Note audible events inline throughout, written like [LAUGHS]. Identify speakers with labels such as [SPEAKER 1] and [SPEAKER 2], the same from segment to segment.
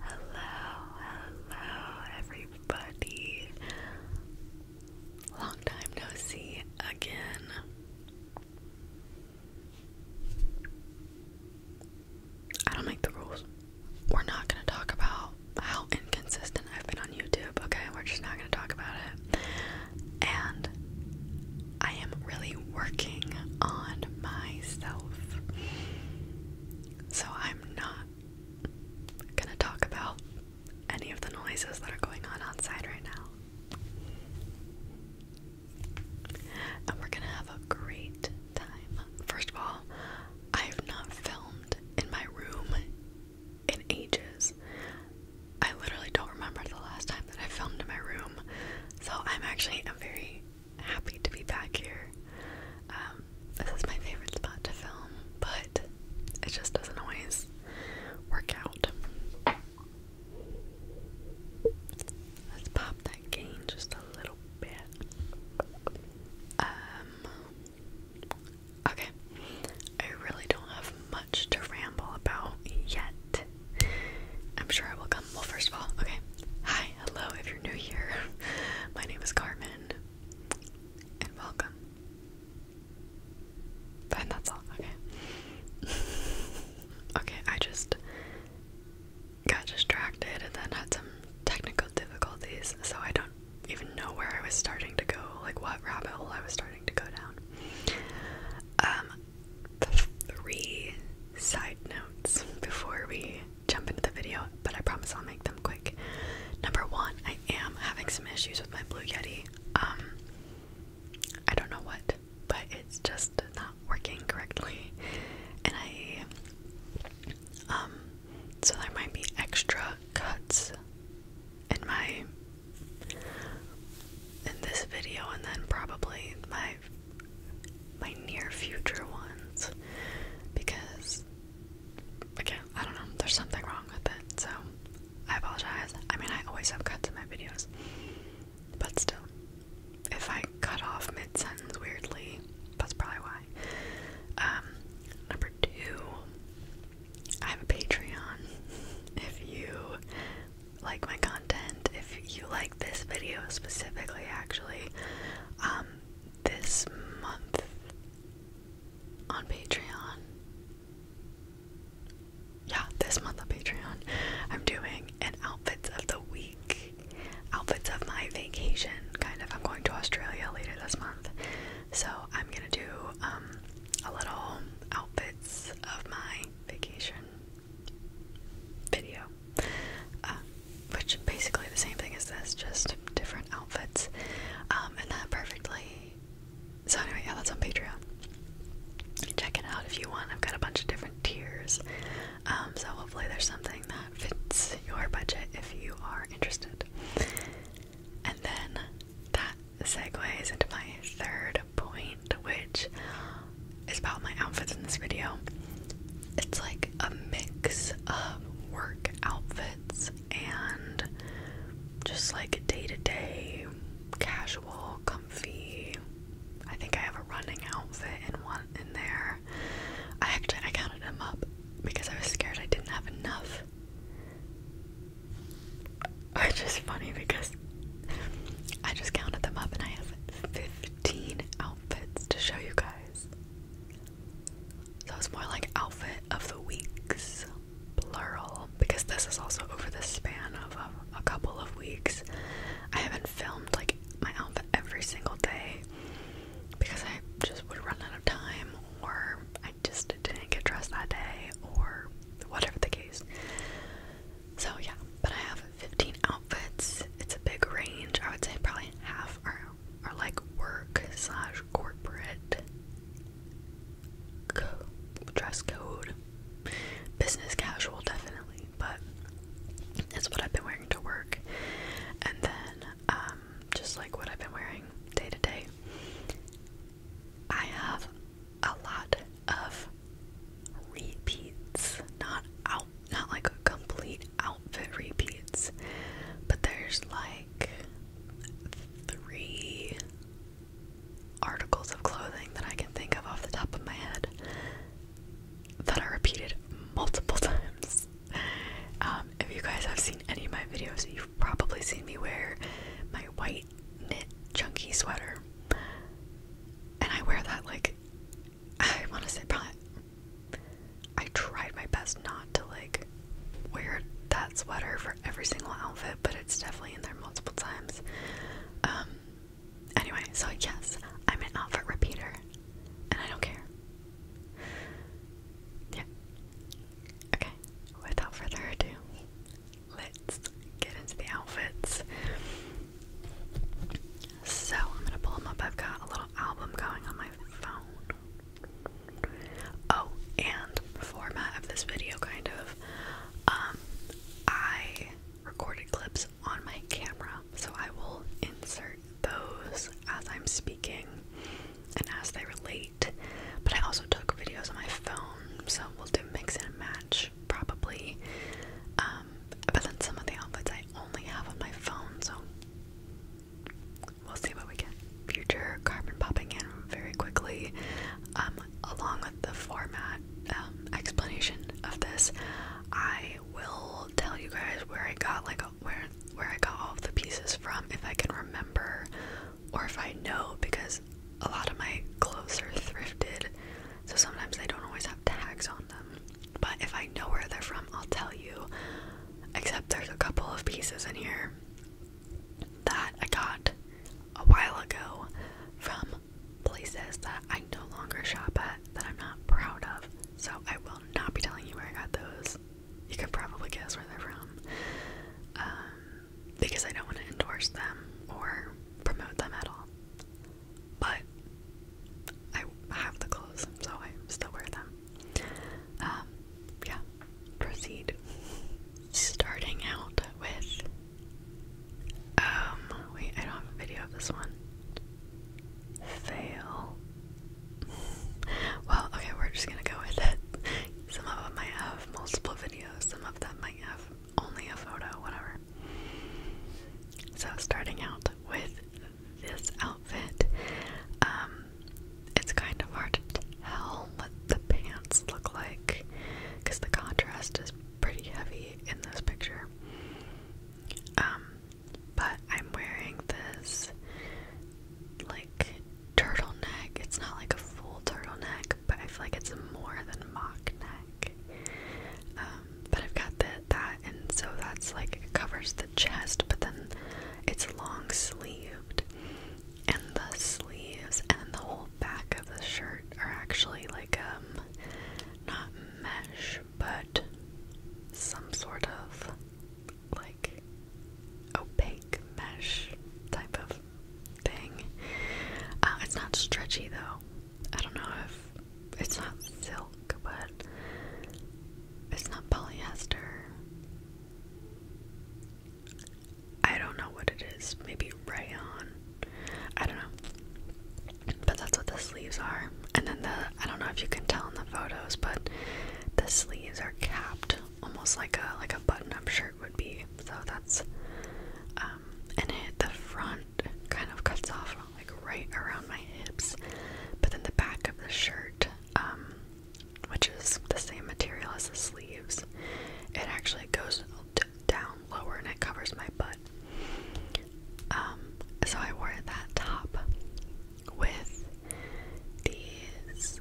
[SPEAKER 1] Hello, hello everybody. Long time no see again. I don't make the rules. We're not going to talk about how inconsistent I've been on YouTube, okay? We're just not going to talk about it. And I am really working on myself. So I'm not gonna talk about any of the noises that are going on outside right now. And we're gonna have a great time. First of all, I have not filmed in my room in ages. I literally don't remember the last time that I filmed in my room. So I'm actually I'm very happy to be back here. Um, this is my favorite spot to film, but it just doesn't always work out. Let's pop that gain just a little bit. Um, okay. I really don't have much to ramble about yet. I'm sure I will come. Well, first of all, okay. Hi, hello, if you're new here. [LAUGHS] My name is Carmen, and welcome. Fine, that's all. Okay. [LAUGHS] okay, I just got distracted and then had some technical difficulties, so I don't even know where I was starting to go, like what rabbit hole I was starting to go down. Um, three side notes before we jump into the video, but I promise I'll make them quick. Number one, I am having some issues with my Blue Yeti. Um, I don't know what, but it's just not working correctly, and I um, so there might be extra cuts in my in this video, and then probably my my near future ones because again, I don't know, there's something wrong with it. So I apologize. I mean, I always have cuts in my videos, but still, if I cut off mid sentence weirdly, that's probably why. Um, number two, I have a Patreon. If you like my content, if you like this video specifically, actually, um, this month on Patreon. Yeah, this month on Patreon, I'm doing an outfits of the week, outfits of my vacation, kind of. I'm going to Australia later this month, so I'm gonna do um, a little outfits of my vacation video. Uh, which basically the same thing as this, just different outfits, um, and that perfectly. So anyway, yeah, that's on Patreon. Check it out if you want. I've got a bunch of different tiers, um, so hopefully there's something that fits your budget if you are interested. And then that segues into my third point, which is about my outfits in this video it's like a mix of work outfits and just like day to day, casual, comfy. I think I have a running outfit in one in there. I actually I counted them up because I was scared I didn't have enough. Which is funny because I just counted them up and I have 15 outfits to show you guys. So it's more like outfit of the weeks, plural, because this is also over the span of a, couple of weeks. I haven't filmed like my outfit every single day because I just would run out of time or I just didn't get dressed that day or whatever the case. So yeah, but I have 15 outfits. It's a big range. I would say probably half are or like work slash corporate dress code. Business casual, definitely, but that's what I've been wearing to work. And then, um, just like what I've been wearing day to day, I have a lot of repeats, not out, not like complete outfit repeats, but there's like three articles of clothing that I can think of off the top of my head that are repeated multiple [LAUGHS] times. Um, if you guys have seen any of my videos, you've probably seen me wear my white knit chunky sweater. And I wear that like [LAUGHS] I want to say probably I tried my best not to like wear that sweater for every single outfit, but it's definitely in there multiple times. Um anyway, so yes, I'm an outfit repeater and I don't care. Yeah. Okay, without further ado, let's get into the outfits. So, I'm gonna pull them up. I've got a little album going on my phone. Oh, and format of this video kind of. Um, I recorded clips on my camera, so I will insert those as I'm speaking and as they relate. But I also took videos on my phone, so we'll do mix and match probably. Um, but then some of the outfits I only have on my phone, so we'll see what we get. Future carbon popping in very quickly. Um, along with the format um, explanation of this, I will tell you guys where I got like where where I got all of the pieces from, if I can remember, or if I know, because a lot of my clothes are thrifted, so sometimes they don't always have tags on them. But if I know where they're from, I'll tell you. Except there's a couple of pieces in here that I got a while ago from places that I no longer shop at that I'm not proud of. So I will not be telling you where I got those. You can probably guess where they're from. Um, because I don't want to endorse them or promote them at all. But I have the clothes, so I still wear them. Um, yeah, proceed. Starting out with. Um, wait, I don't have a video of this one. Fail. Well, okay, we're just gonna go with it. Some of them might have multiple videos, some of them might have only a photo, whatever. So, starting out with this outfit. Um, it's kind of hard to tell what the pants look like because the contrast is pretty heavy in this picture. Um, but I'm wearing this like turtleneck. It's not like a full turtleneck, but I feel like it's more than mock neck. Um, but I've got that, and so that's like it covers chest, but then it's long sleeved, and the sleeves and the whole back of the shirt are actually like um not mesh, but some sort of like opaque mesh type of thing. Uh, it's not stretchy though. I don't know if it's not silk, but it's not polyester. I don't know what it is. Maybe rayon. I don't know. But that's what the sleeves are. And then the I don't know if you can tell in the photos, but the sleeves are capped almost like a like a button-up shirt would be. So that's um and it the front kind of cuts off like right around my hips. But then the back of the shirt um which is the same material as the sleeves. It actually goes down lower and it covers my butt. Um, so I wore that top with these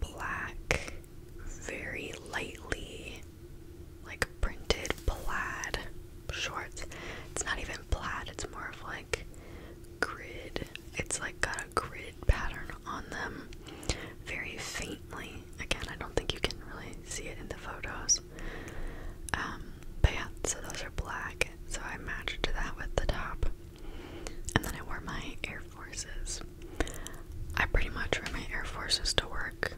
[SPEAKER 1] black, very lightly like printed plaid shorts. It's not even plaid, it's more of like grid. It's like got a grid pattern on them very faintly. Again, I don't think you can really see it in the photos. Um, but yeah, so those are black. So I matched to that with the top. And then I wore my Air Forces. I pretty much wear my Air Forces to work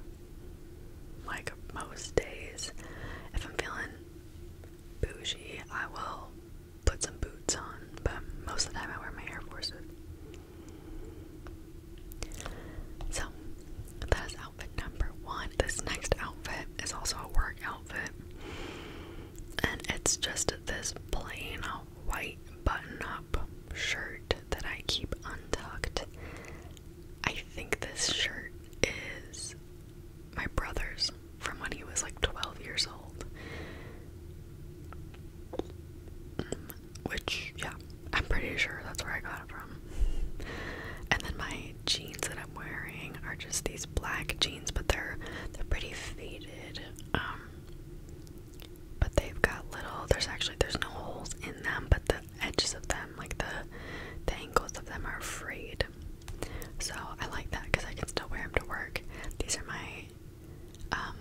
[SPEAKER 1] like most days. If I'm feeling bougie, I will put some boots on, but most of the time I wear my Air Forces. So, that is outfit number one. This next outfit is also a work outfit, and it's just this plain white button up shirt that I keep untucked. I think this shirt is my brother's from when he was like 12 years old. Which, yeah, I'm pretty sure that's where I got it from. And then my jeans that I'm wearing are just these black jeans, but they're they're pretty faded. Um, but they've got little. There's actually there's no holes in them, but the edges of them, like the the ankles of them, are frayed. So I like that because I can still wear them to work. These are my um,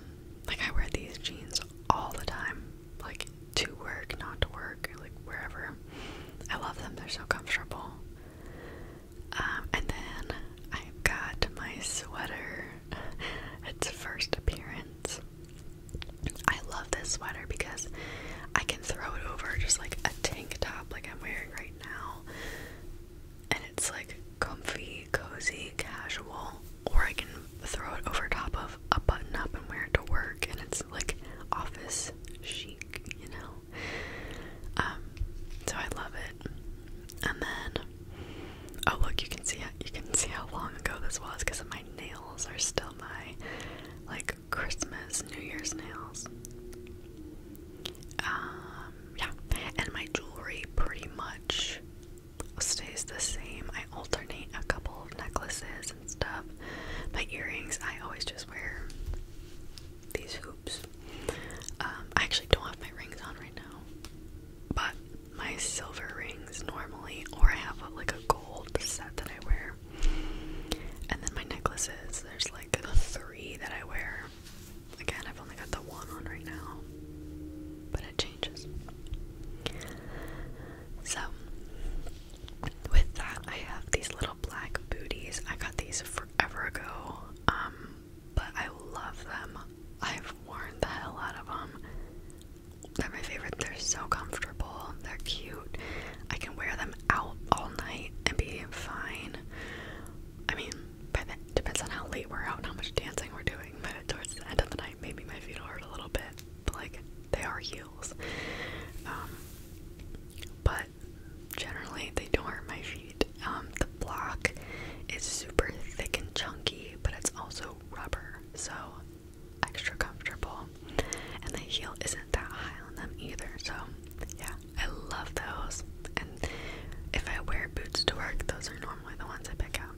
[SPEAKER 1] like I wear these jeans all the time, like to work, not to work, like wherever. I love them; they're so comfortable. Um, and then i got my sweater. [LAUGHS] its first appearance. I love this sweater because I can throw it over just like a tank top, like I'm wearing right now and it's like comfy, cozy, casual, or I can throw it over top of a button up and wear it to work, and it's like office chic, you know. Um, so I love it. And then, oh look, you can see you can see how long ago this was because my nails are still my like Christmas, New Year's nails. Um, yeah, and my jewelry pretty much stays the same. I alternate a couple of necklaces and stuff. My earrings, I always just wear these hoops. Um, I actually don't have my rings on right now, but my silver rings normally, or I have like a gold set that I wear. And then my necklaces, there's like three that I wear. Again, I've only got the one on right now, but it changes. So, with that, I have these little black booties. I got these forever ago, um, but I love them. I've worn the hell out of them. They're my favorite. They're so comfortable. They're cute. I can wear them out all night and be fine. I mean, by then, depends on how late we're out and how much dancing we're doing, but towards the end of the night, maybe my feet will hurt a little bit, but like, they are heels. Um, but generally, they don't hurt my feet. Um, the block is super thick and chunky, but it's also rubber, so extra comfortable. And the heel isn't that high on them either, so yeah, I love those. And if I wear boots to work, those are normally the ones I pick out.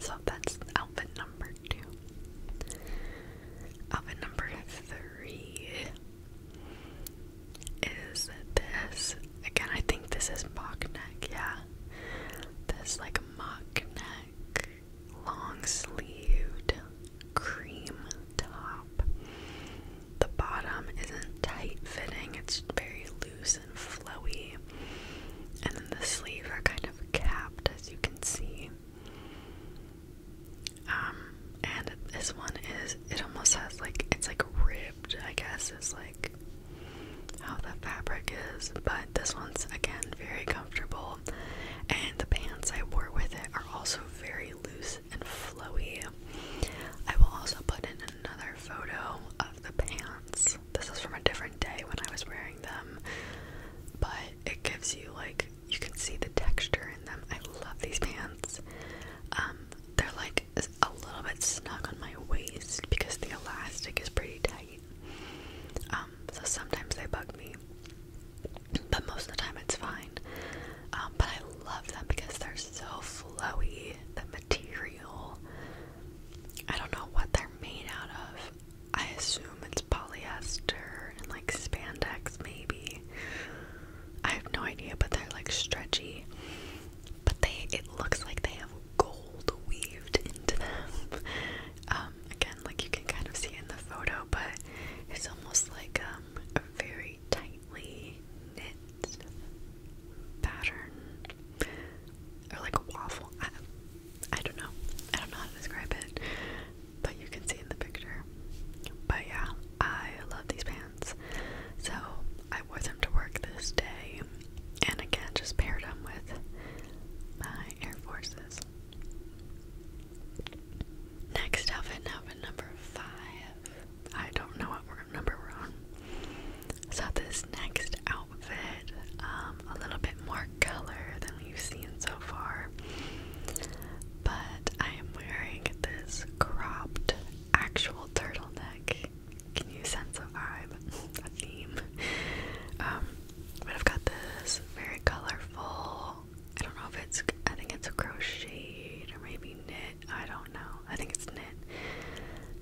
[SPEAKER 1] So that's outfit number two. Outfit number three is this. Again, I think this is mock neck, yeah. This like mock neck, long sleeved cream top the bottom isn't tight fitting, it's very loose and flowy. And the sleeves are kind of capped as you can see. Um, and this one is, it almost has like, it's like ribbed, I guess, is like how the fabric is. But this one's again very comfortable. And the pants I wore with it are also very loose and flowy. I will also put in another photo of the pants. This is from a different day when I was wearing them, but it gives you like you can see the texture in them. I love these pants. Um, they're like a little bit snug on my waist because the elastic is pretty tight. Um, so sometimes they bug me, but most of the time it's fine. Um, but I love them because they're so flowy the material. I don't know what they're made out of. I assume it's polyester and like spandex maybe. I have no idea, but they're like stretchy. But they it looks like they have gold weaved into them. Um, again like you can kind of see in the photo, but it's almost like um, a very tightly knit pattern or like a waffle. I, don't know. I don't know how to describe it, but you can see in the picture. But yeah, I love these pants. So I wore them to work this day, and again, just paired them with my Air Forces. Next outfit, outfit number five. I don't know what number we're on. So this next outfit, um, a little bit more color than we've seen so far. But I am wearing this cropped actual turtleneck. Can you sense a vibe? a theme. Um, but I've got this very colorful I don't know if it's I think it's a crochet or maybe knit, I don't know. I think it's knit.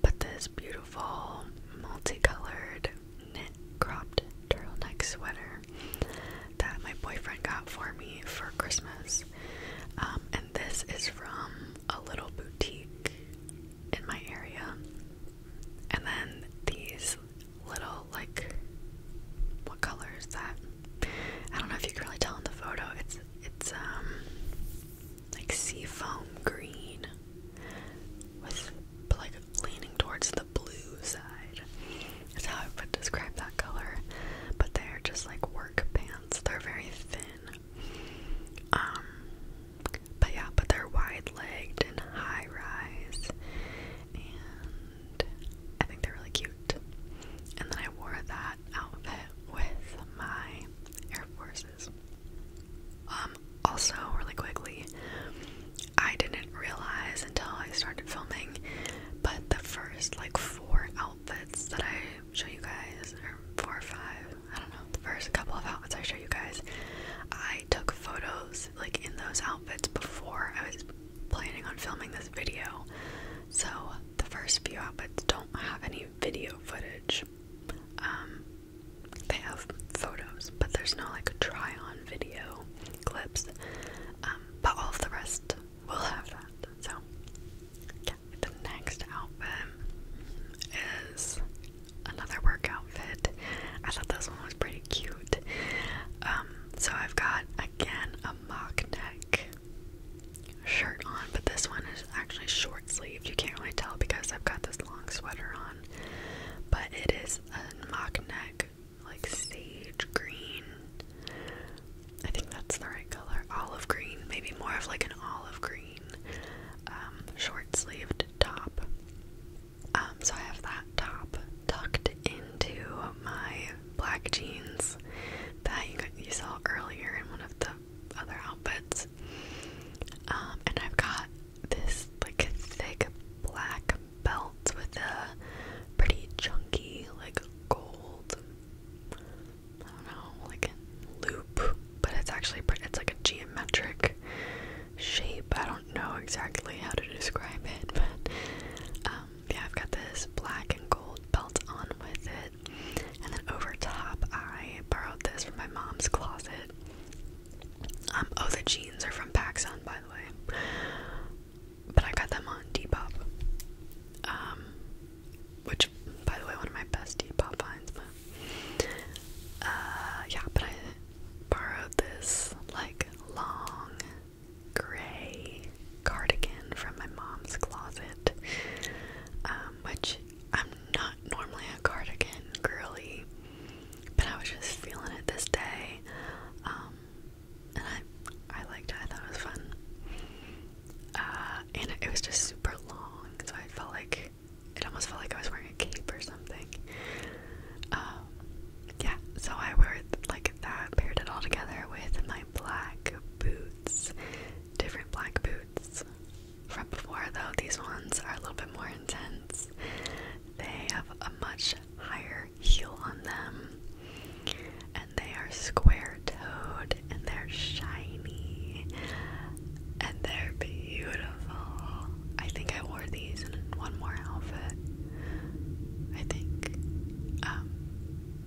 [SPEAKER 1] But this beautiful, multicolored, knit cropped turtleneck sweater that my boyfriend got for me for Christmas. Um, and this is from a little boutique in my area. And then these little, like, what color is that? I don't know if you can really tell in the photo. It's, it's, um, like seafoam green with like leaning towards the blue side That's how I would describe that color. But they're just like work pants. They're very thin. Um but yeah, but they're wide legged and high rise and I think they're really cute. And then I wore that outfit with my Air Forces. Um, also, really quickly, I didn't realize until I started filming, but the first like four outfits that I show you guys, or four or five, I don't know, the first couple of outfits I show you guys, I took photos like in those outfits before I was planning on filming this video. So the first few outfits don't have any video footage. Um, they have photos, but there's no like try on video clips. Um, but all the rest will have that. So, The next outfit is another work outfit. I thought this one was pretty cute. Um, so I've got again a mock neck shirt on, but this one is actually short sleeved. You can't really tell because I've got this long sweater on. But it is a mock neck, like sage green. I think that's the right color. Olive green, maybe more of like an olive green um, short sleeved top. Um, so I have that top tucked into my black jeans that you saw earlier in one of the other outfits. Um, and I've got this like thick black belt with a pretty chunky like gold I don't know, like loop, but it's actually pretty it's like a geometric shape. I don't know exactly how to describe it, but um, yeah, I've got this black and gold belt on with it. And then over top I borrowed this from my mom's closet. Um, oh, the jeans are from PacSun, by the way. But I got them on Depop. Um, which, by the way, one of my best Depop finds. But, uh, yeah, but I borrowed this, like, long gray cardigan from my mom's closet, um, which I'm not normally a cardigan girly, but I was just feeling it this day. Um, and I, I liked it. I thought it was fun. Uh, and it, was just super long, so I felt like it almost felt like I was wearing a cape or something. Um, yeah, so I wore it like that, paired it all together with my black boots, different black boots repertoire, though, these ones are a little bit more intense. They have a much higher heel on them, and they are square toed, and they're shiny, and they're beautiful. I think I wore these in one more outfit, I think. Um,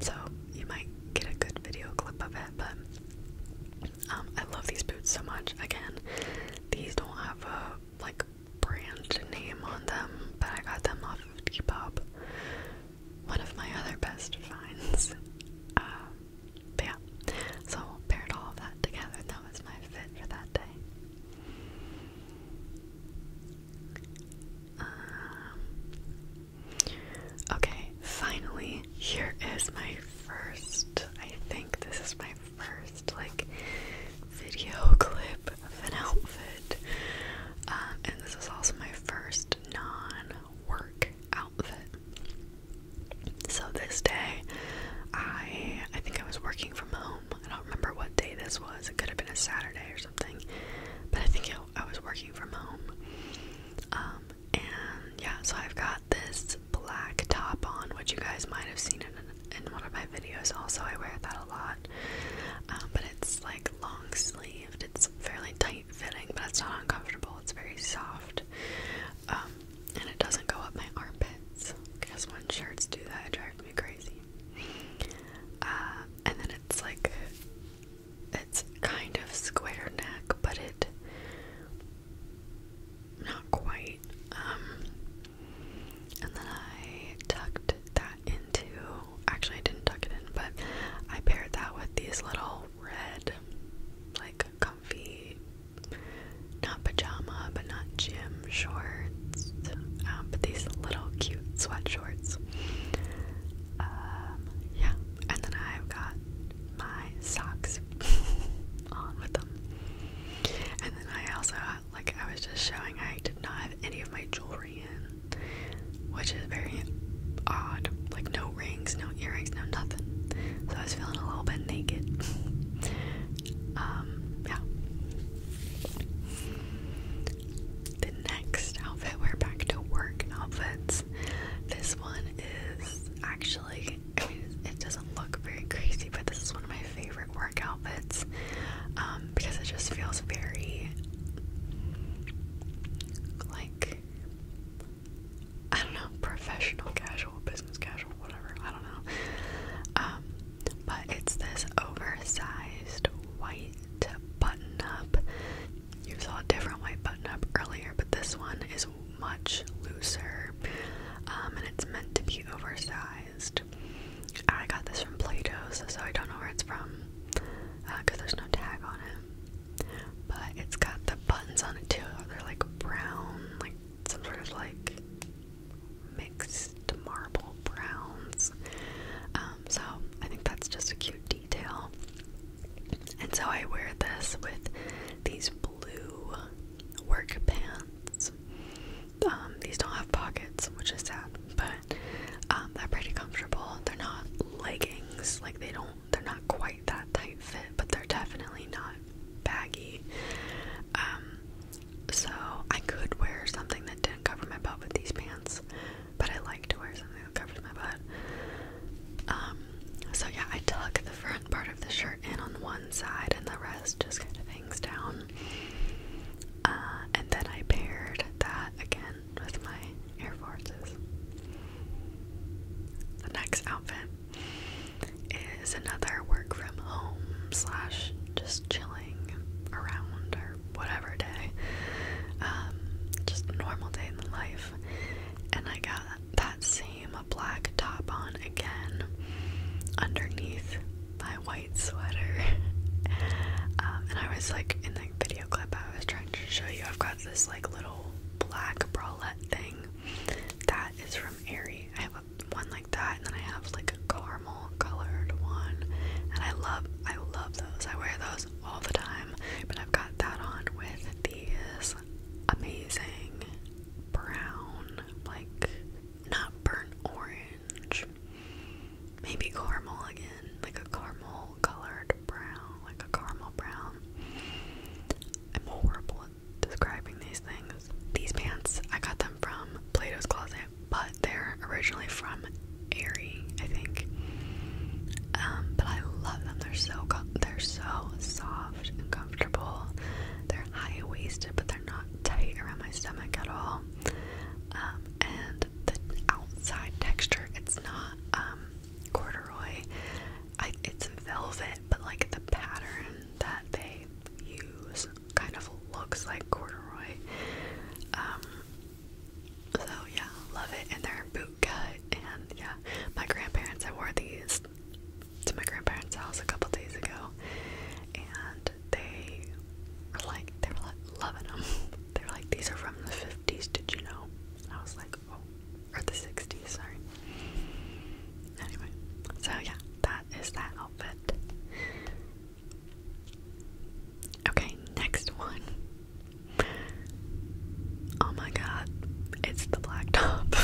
[SPEAKER 1] so you might get a good video clip of it, but um, I love these boots so much. Again, these don't have a like brand name on them, but I got them off of Depop. One of my other best finds. Uh, but yeah, so paired all of that together, and that was my fit for that day. Um, okay, finally, here is my first, I think this is my first like video [LAUGHS] clip of an outfit. Um, and this is also my first non-work outfit. So this day, I I think I was working from home. I don't remember what day this was. It could have been a Saturday or something, but I think I was working from home. Um, and yeah, so I've got this black top on, which you guys might have seen in, one of my videos. Also, I wear that a lot, um, but it's like long sleeved. It's fairly tight fitting, but it's not uncomfortable. It's very soft, um, and it doesn't go up my armpits. Guess when shirts do that, it drives me crazy. Uh, and then it's like it's kind of square neck, but it not quite. Um, and then I tucked that into. Actually, I didn't tuck it in, but I paired that with these little red, like comfy, not pajama, but not gym shorts. Um, but these little cute sweat shorts. Um, yeah, and then I've got my socks [LAUGHS] on with them. And then I also, like I was just showing, I did not have any of my jewelry in, which is very odd. Like no rings, no earrings, no nothing. So I was feeling a little bit naked. [LAUGHS] um, yeah. The next outfit, we're back to work outfits. This one is actually it doesn't look very crazy, but this is one of my favorite workout outfits um, because it just feels very like I don't know professional casual, business casual, whatever I don't know. Um, but it's this oversized white button up. You saw a different white button up earlier, but this one is much looser um, and it's meant to be oversized. I got this from Play Doh's, so I don't know where it's from because uh, there's no tag on it. But it's got the buttons on it too. They're like brown, like some sort of like mixed marble browns. Um, so I think that's just a cute detail. And so I wear this with these blue work pants. Um, these don't have pockets, which is sad, but um, they're pretty comfortable. They're not leggings, like they don't, they're not quite that tight fit, but they're definitely not baggy. Um, so I could wear something that didn't cover my butt with these pants, but I like to wear something that covers my butt. Um, so yeah, I tuck the front front part of the shirt in on one side and the rest just kind of hangs down. Uh, and then I paired that again with my Air Forces. The next outfit is another work from home slash just chilling around or whatever day. Um, just normal day in life. And I got that same a black top on again underneath my white sweater. [LAUGHS] Um, and I was like, in the video clip, I was trying to show you, I've got this like little black bralette thing that is from Aerie. I have a, one like that, and then I have like a caramel colored one, and I love, I love those. I wear those all the time, but I've got that on with these amazing brown, like not burnt orange, maybe caramel again, like a caramel colored brown, like a caramel brown. I'm horrible at describing these things. These pants, I got them from Plato's Closet, but they're originally from Aerie, I think. Um, but I love them. They're so they're so soft and comfortable. They're high waisted, but they're not tight around my stomach at all. Um, and the outside texture, it's not um, corduroy. I, it's velvet, but like the pattern that they use kind of looks like corduroy. Um, so yeah, love it. And they're boot cut. And yeah, my grandparents, I wore these to my grandparents' house a couple days ago, and they were like, they were like loving them. [LAUGHS] they were like, these are from the '50s. Did you know? I was like, oh, or the '60s. Sorry. Anyway, so yeah, that is that outfit. Okay, next one. Oh my god, it's the black top.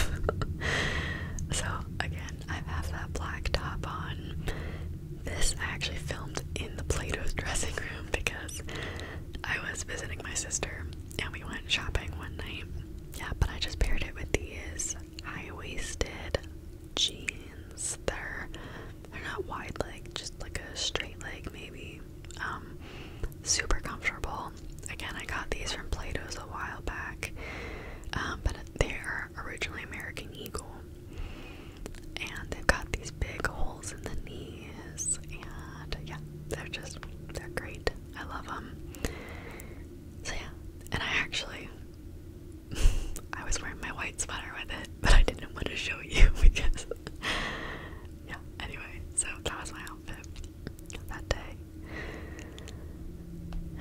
[SPEAKER 1] [LAUGHS] so, again, I have that black top on. This I actually filmed in the Plato's dressing room because I was visiting my sister and we went shopping one night. Yeah, but I just paired it with these high-waisted jeans. They're they're not wide leg, just like a straight leg maybe. Um super comfortable. Again, I got these from Plato's a while back. Um, but they are originally American Eagle. And they've got these big holes in the knees, and yeah, they're just, they're great. I love them. So yeah, and I actually, [LAUGHS] I was wearing my white sweater with it, but I didn't want to show you [LAUGHS] because, yeah, anyway, so that was my outfit that day.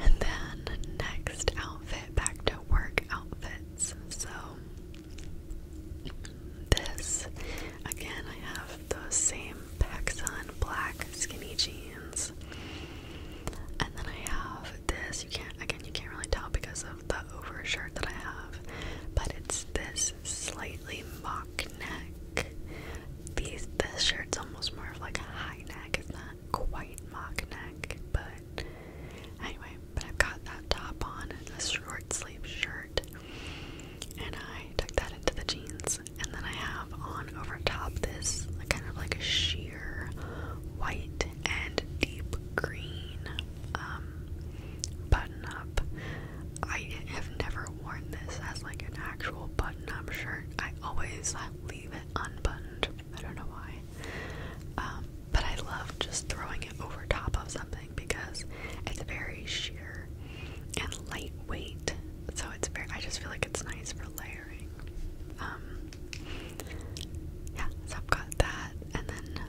[SPEAKER 1] And then next outfit, back to work outfits. So this again I have those same Pexon black skinny jeans. And then I have this. You can't again you can't really tell because of the overshirt that I have, but it's this slightly mock neck. These this shirt's almost more of like a high neck, is not quite mock neck, but anyway, but I've got that top on a short sleeve shirt, and I tuck that into the jeans, and then I have on over top this like, kind of like a sheer white and deep green um, button up. I have never worn this as like an actual button up shirt. I always leave it unbuttoned. I don't know why. Um, but I love just throwing it over top of something because it's very sheer and lightweight. So it's very, I just feel like it's nice for layering. Um, yeah, so I've got that and then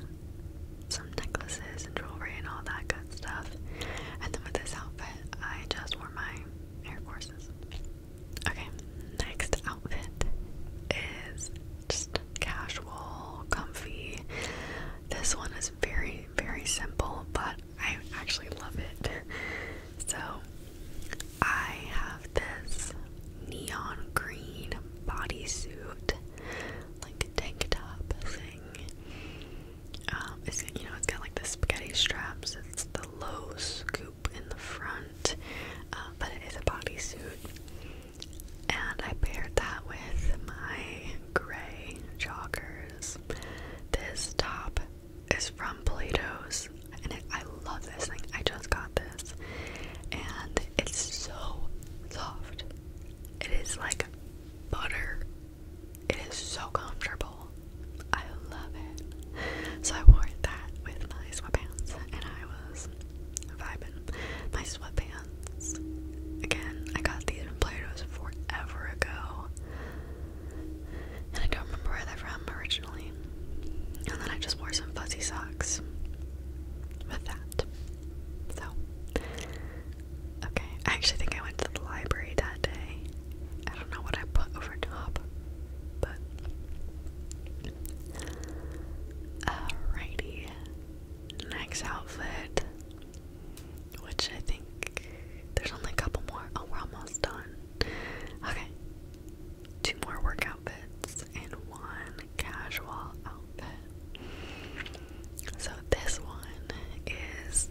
[SPEAKER 1] some necklaces and jewelry and all that good stuff. And then with this outfit, I just wore my Air Forces. Okay, next outfit is just casual, comfy. This one is very, very simple, but I actually love it. So, I have this neon green bodysuit, like tank top thing. Um, it's you know, it's got like the spaghetti straps. It's the low scoop in the front, uh, but it is a bodysuit. And I paired that with my gray joggers. This top is from Plato's, and I love this thing. I just got this, and it's so soft. It is like butter. It is so comfortable. I love it. So I wore that with my sweatpants and I was vibing. My sweatpants, again, I got these from Play-Dohs forever ago. And I don't remember where they're from originally. And then I just wore some fuzzy socks with that. So, okay. I actually think I went to the library that day. I don't know what I put over top, but Alrighty. Next outfit, which I think there's only a couple more. Oh, we're almost done. Okay. Two more work outfits and one casual outfit. So, this one is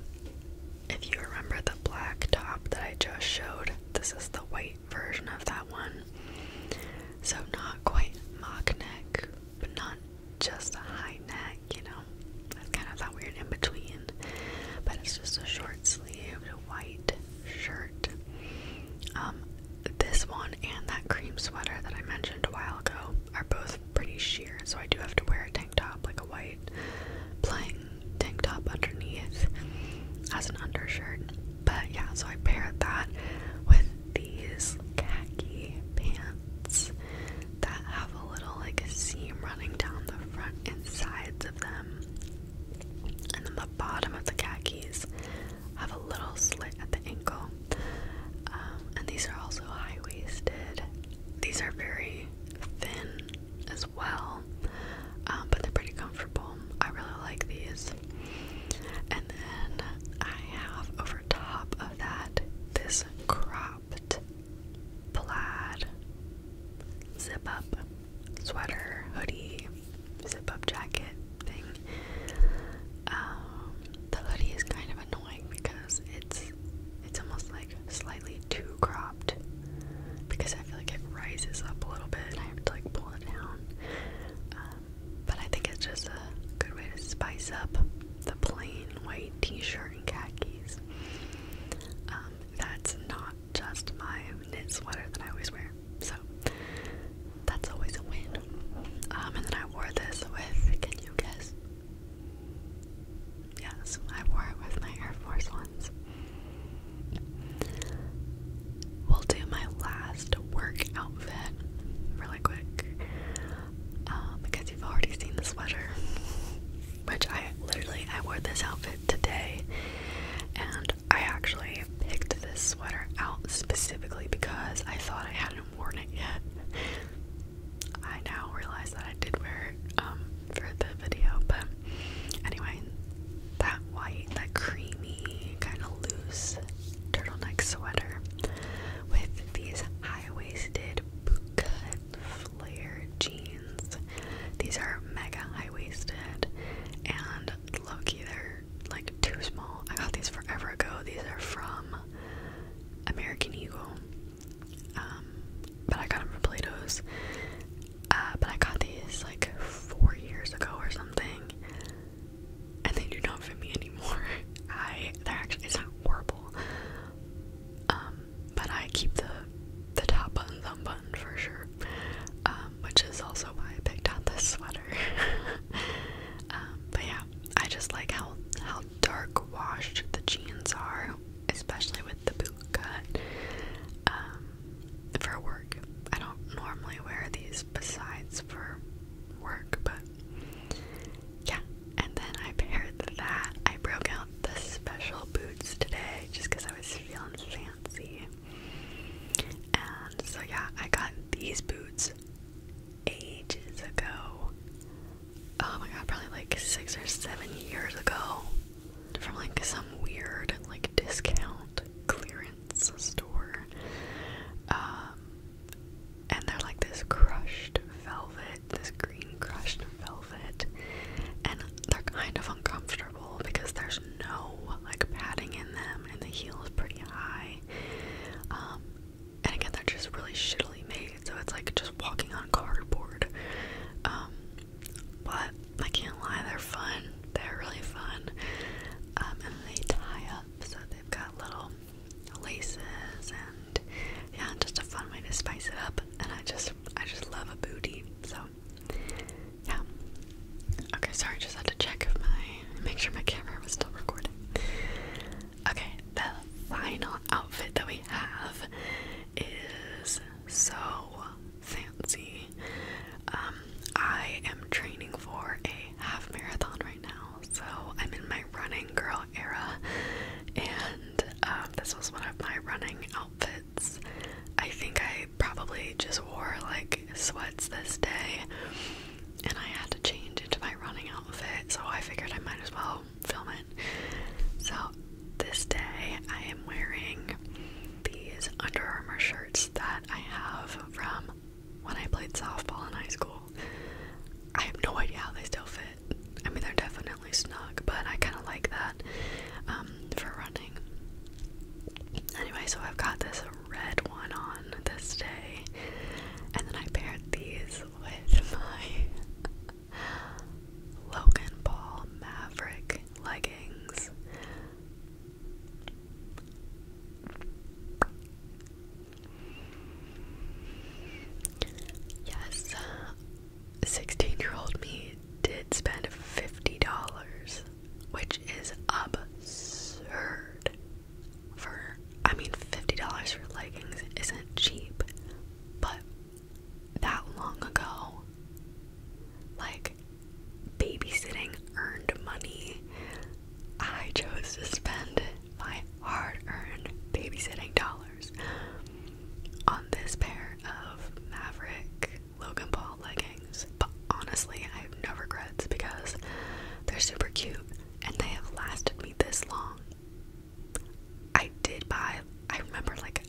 [SPEAKER 1] if you remember the black top that I just showed, this is the white version of that one. So not quite mock neck, but not just a high neck, you know. That's kind of that weird in between. But it's just a short sleeve white shirt. Um, this one and that cream sweater that I mentioned a while ago are both pretty sheer, so I do have to wear a tank top, like a white plain tank top underneath as an undershirt. But yeah, so I paired that with these khaki pants that have a little like a seam running down the front and sides of them. And then the bottom of the khakis have a little slit at the ankle. Um, and these are also high waisted. These are very thin as well, um, but they're pretty comfortable. I really like these. And then I have over top of that this cropped plaid zip up sweater, hoodie, zip up jacket thing. Um, the hoodie is kind of annoying because it's it's almost like slightly too cropped because I feel like it rises up a little bit and I have to like pull it down. Um, but I think it's just a good way to spice up the plain white t-shirt and khakis. Um, that's not just my knit sweater that I always wear, so that's always a win. Um, and then I wore this with, can you guess? Yes, I wore it with my Air Force ones. We'll do my last work outfit really quick um, because you've already seen the sweater, which I literally I wore this outfit today, and I actually picked this sweater out specifically because I thought I hadn't worn it yet. I now realize that I did wear it um, for the video, but anyway, that white, that creamy, kind of loose turtleneck sweater with these high-waisted bootcut flare jeans. These are mega high-waisted and low they're like too small. I got these forever ago. These are from American Eagle. Um, but I got them from Plato's. Uh, but I got these like four years ago or something and they do not fit me anymore. [LAUGHS] I they're actually it's not horrible. Um, but I keep the the top button thumb button for sure. Um, which is also why I picked out this sweater. [LAUGHS] Um, but yeah, I just like how how dark washed the jeans are, especially with the boot cut for work. I don't normally wear these besides for work, but yeah. And then I paired that. I broke out the special boots today just because I was feeling fancy. And so yeah, I got these boots ages ago. Oh my god, probably like six or seven years ago. From like some weird like discount clearance store. Um, and they're like this crushed velvet, this green crushed velvet, and they're kind of uncomfortable because there's no like padding in them, and the heel is pretty high. Um, and again, they're just really shittily made, so it's like just walking on cardboard. Um, but I can't lie, they're fun. They're really fun um, and they tie up so they've got little laces and yeah just a fun way to spice it up and I just I just love a booty so yeah okay sorry I just had to check if my make sure my camera was still recording okay the final outfit that we have is so fancy um, I am training for a half marathon right now, so I'm in my running girl era, and um, this was one of my running outfits. I think I probably just wore like sweats this day, and I had to change into my running outfit, so I figured I might as well film it. So this day I am wearing these Under Armour shirts that I have from when I played softball in high school. I have no idea how they still fit. I mean, they're definitely snug, but I kind of like that um, for running. Anyway, so I've got this red one on this day, and then I paired these with [LAUGHS] my Logan Paul Maverick leggings. Yes, uh, 16 year old me did spend $50, which is absurd. For, I mean, $50 for leggings isn't cheap, but that long ago, like, babysitting earned money. I chose to spend my hard earned babysitting dollars on this pair of Maverick Logan Paul leggings. But honestly, I have no regrets because they're super cute and they have lasted me this long. I did buy, I remember like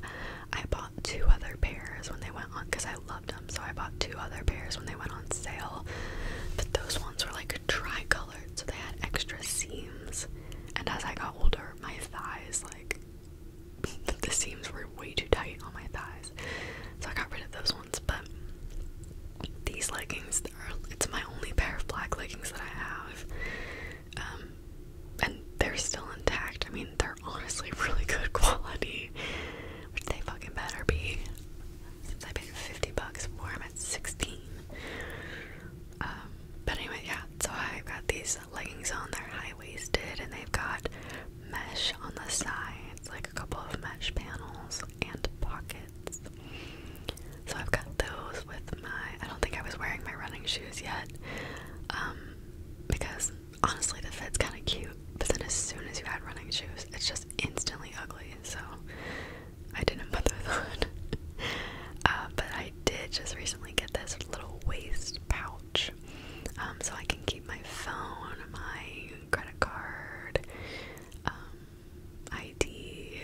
[SPEAKER 1] I bought two other pairs when they went on because I I loved them, so I bought two other pairs when they went on sale. But those ones were like tri-colored, so they had extra seams. And as I got older, my thighs like [LAUGHS] the seams were way too tight on my thighs, so I got rid of those ones. But these leggings, are, it's my only pair of black leggings that I have. Um, and they're still intact. I mean, they're honestly [LAUGHS] really good quality, which they fucking better be since I paid 50 bucks for them at 16. Um, but anyway, yeah, so I've got these leggings on, they're high waisted, and they've got mesh on the sides, like a couple of mesh panels and pockets. So I've got those with my, I don't think I was wearing my running shoes yet, um, because honestly the fit's kind of cute but then as soon as you had running shoes, it's just instantly ugly. So I didn't bother that. [LAUGHS] uh, but I did just recently get this little waist pouch, um, so I can keep my phone, my credit card, um, ID,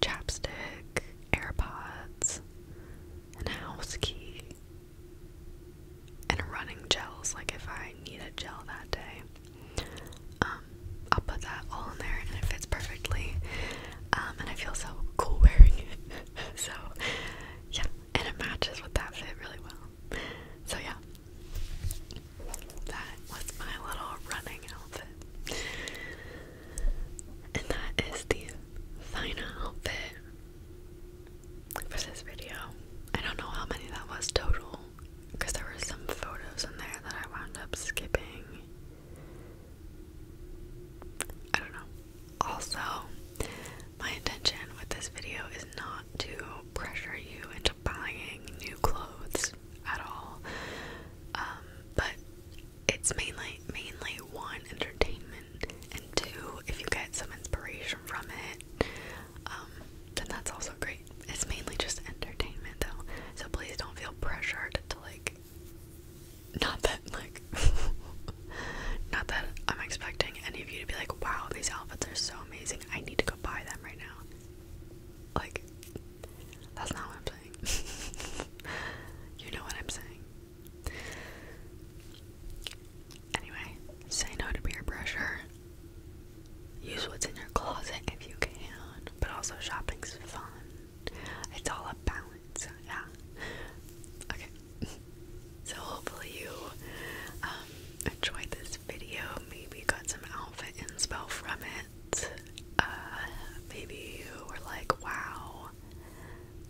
[SPEAKER 1] chapstick, AirPods, and a house key. And running gels, like if I need a gel that day. Um, I'll put that all in there and it fits perfectly. Um, and I feel so cool wearing it. [LAUGHS] so, yeah, and it matches with that fit really well. So, yeah, that was my little running outfit. And that is the final outfit for this video. I don't know how many that was total because there were some photos in there that I wound up skipping. I don't know. Also, my intention with this video is not to pressure you into buying new clothes at all. Um, but it's mainly mainly one entertainment and two if you get some inspiration from it. Um, then that's also great. It's mainly just entertainment though. So please don't feel pressured to like not that like [LAUGHS] not that I'm expecting any of you to be like, wow, these outfits are so amazing. I need to go buy them right now. Like that's not what I'm saying. [LAUGHS] you know what I'm saying. Anyway, say no to peer pressure. Use what's in your closet if you can, but also shopping's fun. It's all a balance, yeah. Okay, [LAUGHS] so hopefully you um, enjoyed this video. Maybe got some outfit inspo from it. Uh, maybe you were like, wow,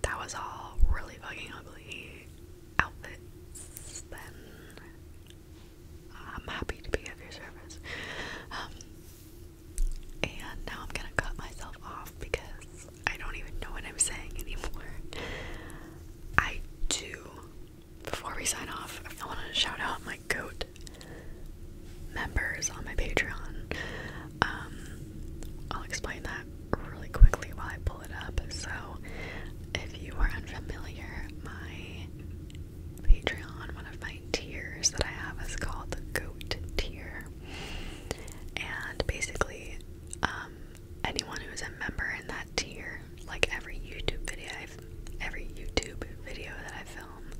[SPEAKER 1] that was all really fucking ugly outfits. Then I'm happy to be of your service. Um, and now I'm gonna cut myself off because I don't even know what I'm saying anymore. I do. Before we sign off, I want to shout out my goat members on my Patreon. Um, I'll explain that really quickly while I pull it up. So, if you are unfamiliar, my Patreon, one of my tiers that I have is called the Goat Tier. And basically, um, anyone who is a member in that tier, like every YouTube video I've every YouTube video that I film,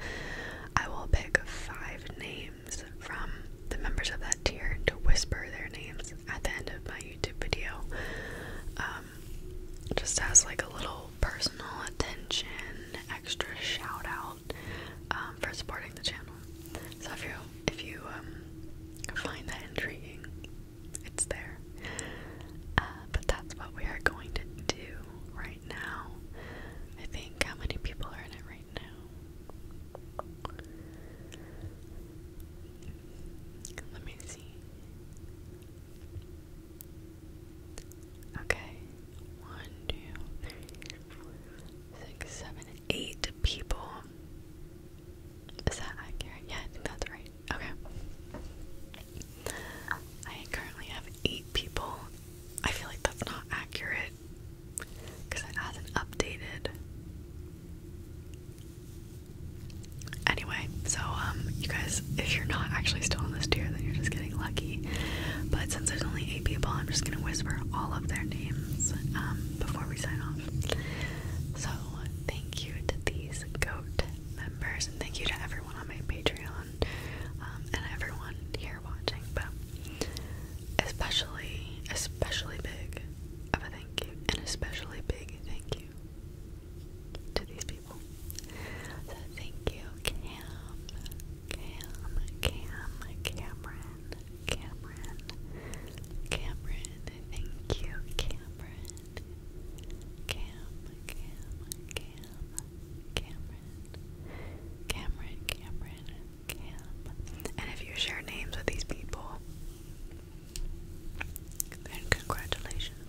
[SPEAKER 1] I will pick five names from the members of that tier to whisper their names at the end of my YouTube video. Um, um, just as like a little personal attention, extra shout um, for supporting the channel. So if you if you um, find that intriguing, it's there. Uh, but that's what we are going to do right now. I think how many people are in it right now? Let me see. Okay. One, two, three, four, six, seven, eight people. Is that accurate? Yeah, that's right. Okay. I currently have eight people. I feel like that's not accurate because it hasn't updated. Anyway, so um, you guys if you're not actually still on this tier, then you're just getting lucky. But since there's only eight people, I'm just gonna whisper all of their names um, before we sign off. So thank you to these goat members, and thank you to everyone on my Patreon um, and everyone here watching. But especially, especially big of a thank you, and especially big thank you to these people. So thank you, Cam, Cam, Cam, Cameron, Cameron, Cameron. Thank you, Cameron. Cam, Cam, Cam, Cameron, Cameron, Cameron, Cam. And if you share names with these people, then congratulations.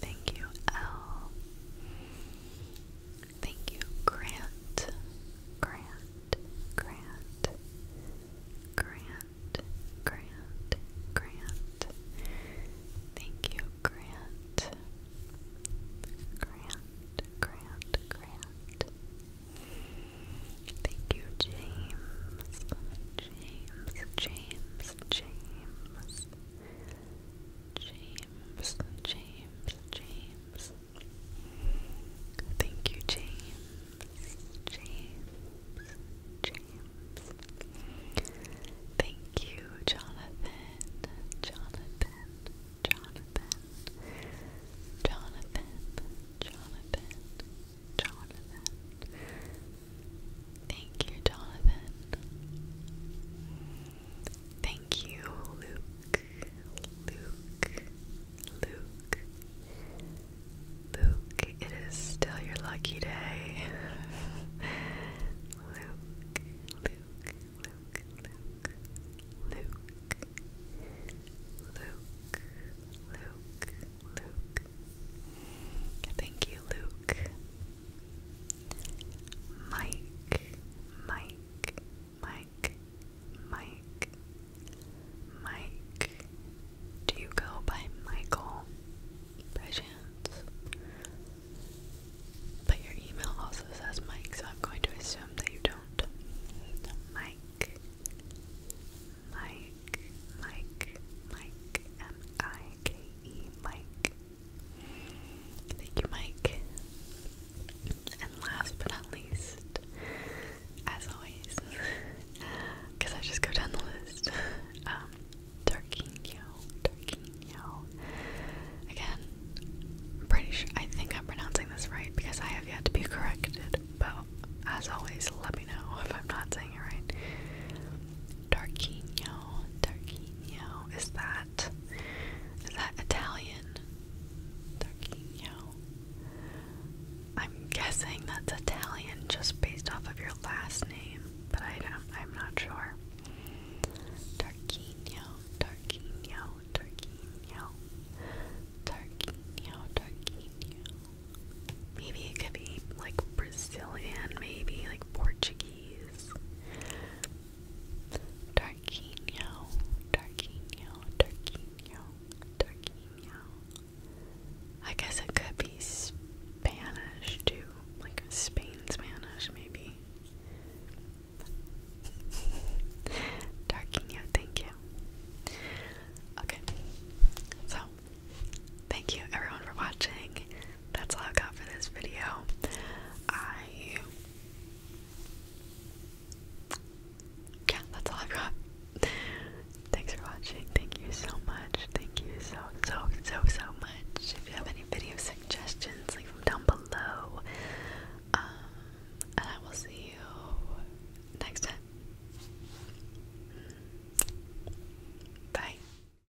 [SPEAKER 1] Thank you, L. Thank you, Grant. Grant, Grant, Grant, Grant, Grant. Thank you, Grant. Grant, Grant, Grant. Thank you, James. James, James, James, James, James, James. Thank you, James, James, James. Thank you, Jonathan, Jonathan, Jonathan, Jonathan, Jonathan, Jonathan, Thank you, Jonathan. Thank you, Luke. Luke. Luke. Luke, it is still your lucky day. Luke, Luke, Luke. Luke, Luke, Luke. Thank you, Luke. Mike, Mike, Mike, Mike, Mike. Do you go by Michael by chance? But your email also says Mike, so I'm going to assume that you don't. Mike, Mike, Mike, Mike, M I K E, Mike. Thank you, Mike. And last but not least, as always, because [LAUGHS] I just go down the list, [LAUGHS] um, Tarquinio, Tarquinio. Again, pretty sure, I think I'm pronouncing this right because I have yet to be corrected, but as always, let me know if I'm not saying it right. Darquinho, Darquinho. Is that is that Italian? Darquinho. I'm guessing that's Italian just based off of your last name, but I do I'm not sure. Darquinho, Darquinho, Darquinho, Darquinho, Darquinho. Maybe it could be like Brazilian, maybe like Portuguese please. Darkinho, Darkinho, Darkinho, I guess it could be Spanish too, like Spain Spanish maybe. Darkinho, thank you. Okay, so thank you everyone for watching that's all I got for this video. I yeah, that's all I've got. Thanks for watching. Thank you so much. Thank you so so so so much. If you have any video suggestions, leave them down below. Um, and I will see you next time. Bye.